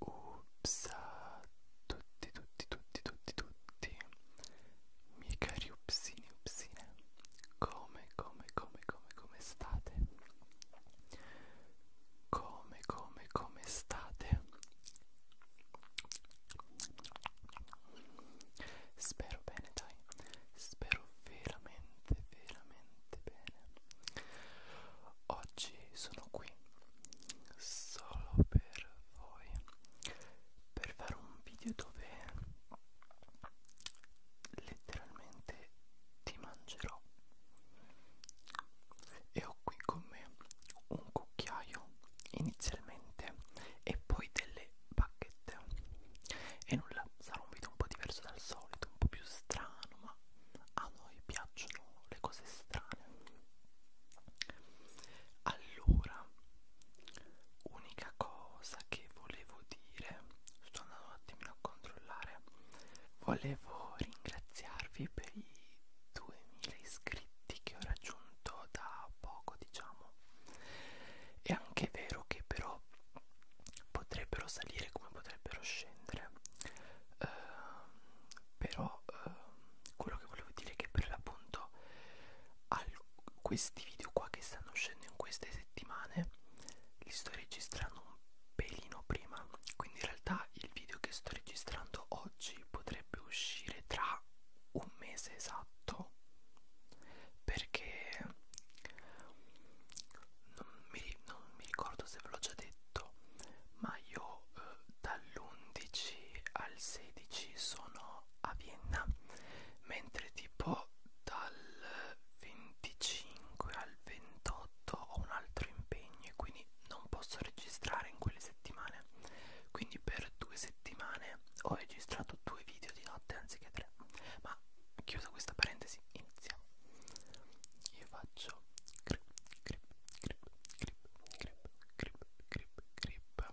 Ups a tutti, tutti, tutti, tutti, tutti miei cari upsini, upsine come, come, come, come, come state? come, come, come state? Spero bene, dai. Spero veramente, veramente bene. Oggi sono qui solo per voi per fare un video dove letteralmente ti mangerò e ho qui con me un cucchiaio inizialmente e poi delle bacchette e nulla sarà un video un po' diverso dal solito un po' più strano ma a noi piacciono le cose strane allora unica cosa che volevo dire sto andando un attimino a controllare volevo ringraziarvi per sui 2000 iscritti che ho raggiunto da poco diciamo è anche vero che però potrebbero salire come potrebbero scendere uh, però uh, quello che volevo dire è che per l'appunto questi video qua che stanno uscendo in queste settimane li sto registrando un pelino prima quindi in realtà il video che sto registrando oggi che potrebbe uscire tra un mese esatto perché non mi, non mi ricordo se ve l'ho già detto ma io eh, dall'11 al 16 sono a Vienna mentre tipo dal 25 al 28 ho un altro impegno e quindi non posso registrare in quelle settimane quindi per due settimane ho registrato due video di notte anziché tre ma chiusa questa parentesi iniziamo io faccio grip grip grip grip grip grip grip grip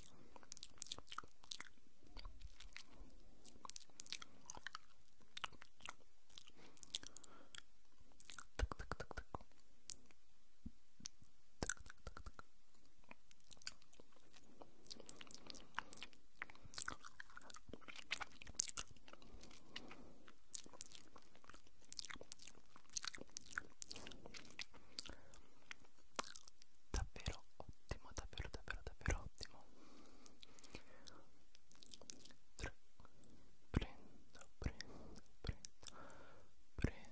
davvero ottimo ottimo, davvero davvero davvero ottimo. 3. Prendo, prendo, prendo, prendo, prendo.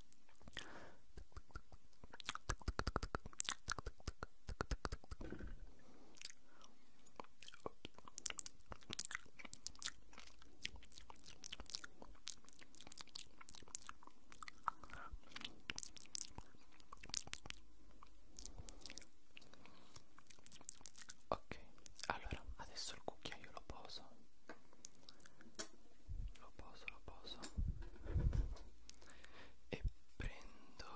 Ok, allora adesso il cucchiaio lo poso lo poso, lo poso e prendo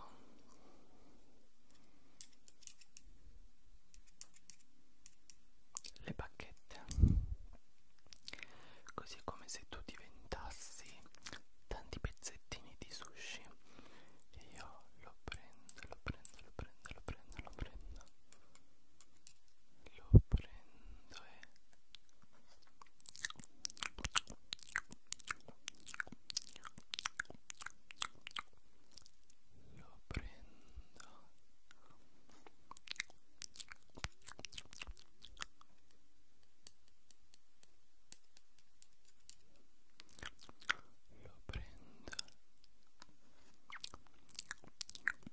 le bacchette così è come se tu diventassi tanti pezzettini di sushi e io lo prendo, lo prendo, lo prendo, lo prendo, lo prendo lo prendo eh. lo prendo lo prendo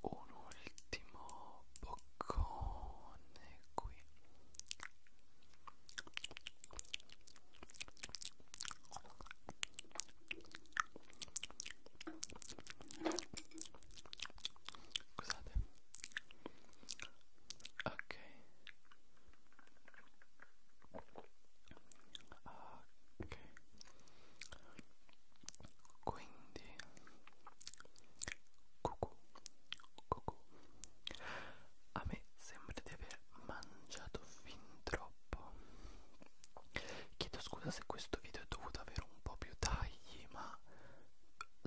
un ultimo boccone qui Scusate. Ok ok quindi cucù cucù a me sembra di aver mangiato fin troppo chiedo scusa se questo video è dovuto avere un po' più tagli ma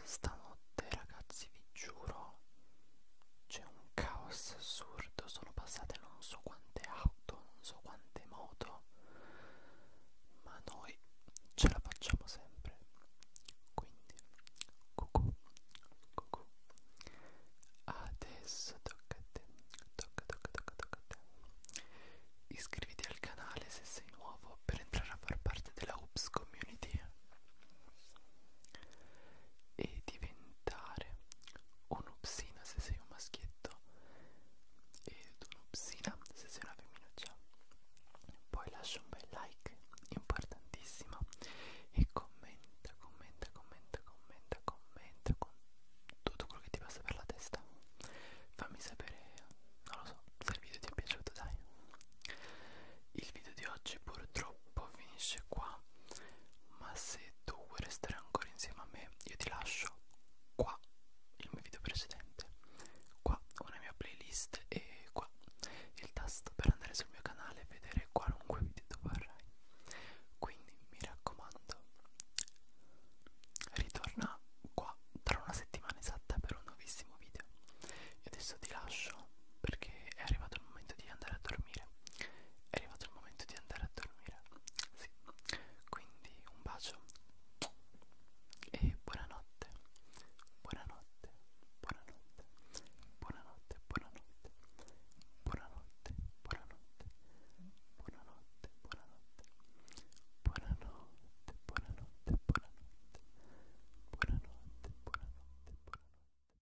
stanotte ragazzi vi giuro c'è un caos assurdo, sono passate non so quante auto, non so quante moto, ma noi ce la facciamo sempre. Quindi, cucù, cucù. Adesso tocca a te, tocca, tocca, tocca, tocca a te. Iscriviti al canale se sei nuovo per entrare a far parte della Hoops Community e diventi diventare un'upsina se sei un maschietto ed un'upsina se sei una femminuccia poi lascia un bel like importantissimo e commenta commenta commenta commenta commenta con tutto quello che ti passa per la testa fammi sapere non lo so se il video ti è piaciuto dai il video di oggi purtroppo poi finisce qua ma se tu vuoi restare ancora insieme a me io ti lascio qua il mio video precedente qua una mia playlist e qua il tasto per andare sul mio canale e vedere qualunque video tu vorrai quindi mi raccomando ritorna qua tra una settimana esatta per un nuovissimo video io adesso ti lascio perché è arrivato il momento di andare a dormire è arrivato il momento di andare a dormire. Sì. Quindi un bacio e buonanotte. Buonanotte. Buonanotte. Buonanotte. Buonanotte. Buonanotte. Buonanotte. Buonanotte. Buonanotte. Buonanotte. Buonanotte. Buonanotte. Buonanotte. Buonanotte. Buonanotte.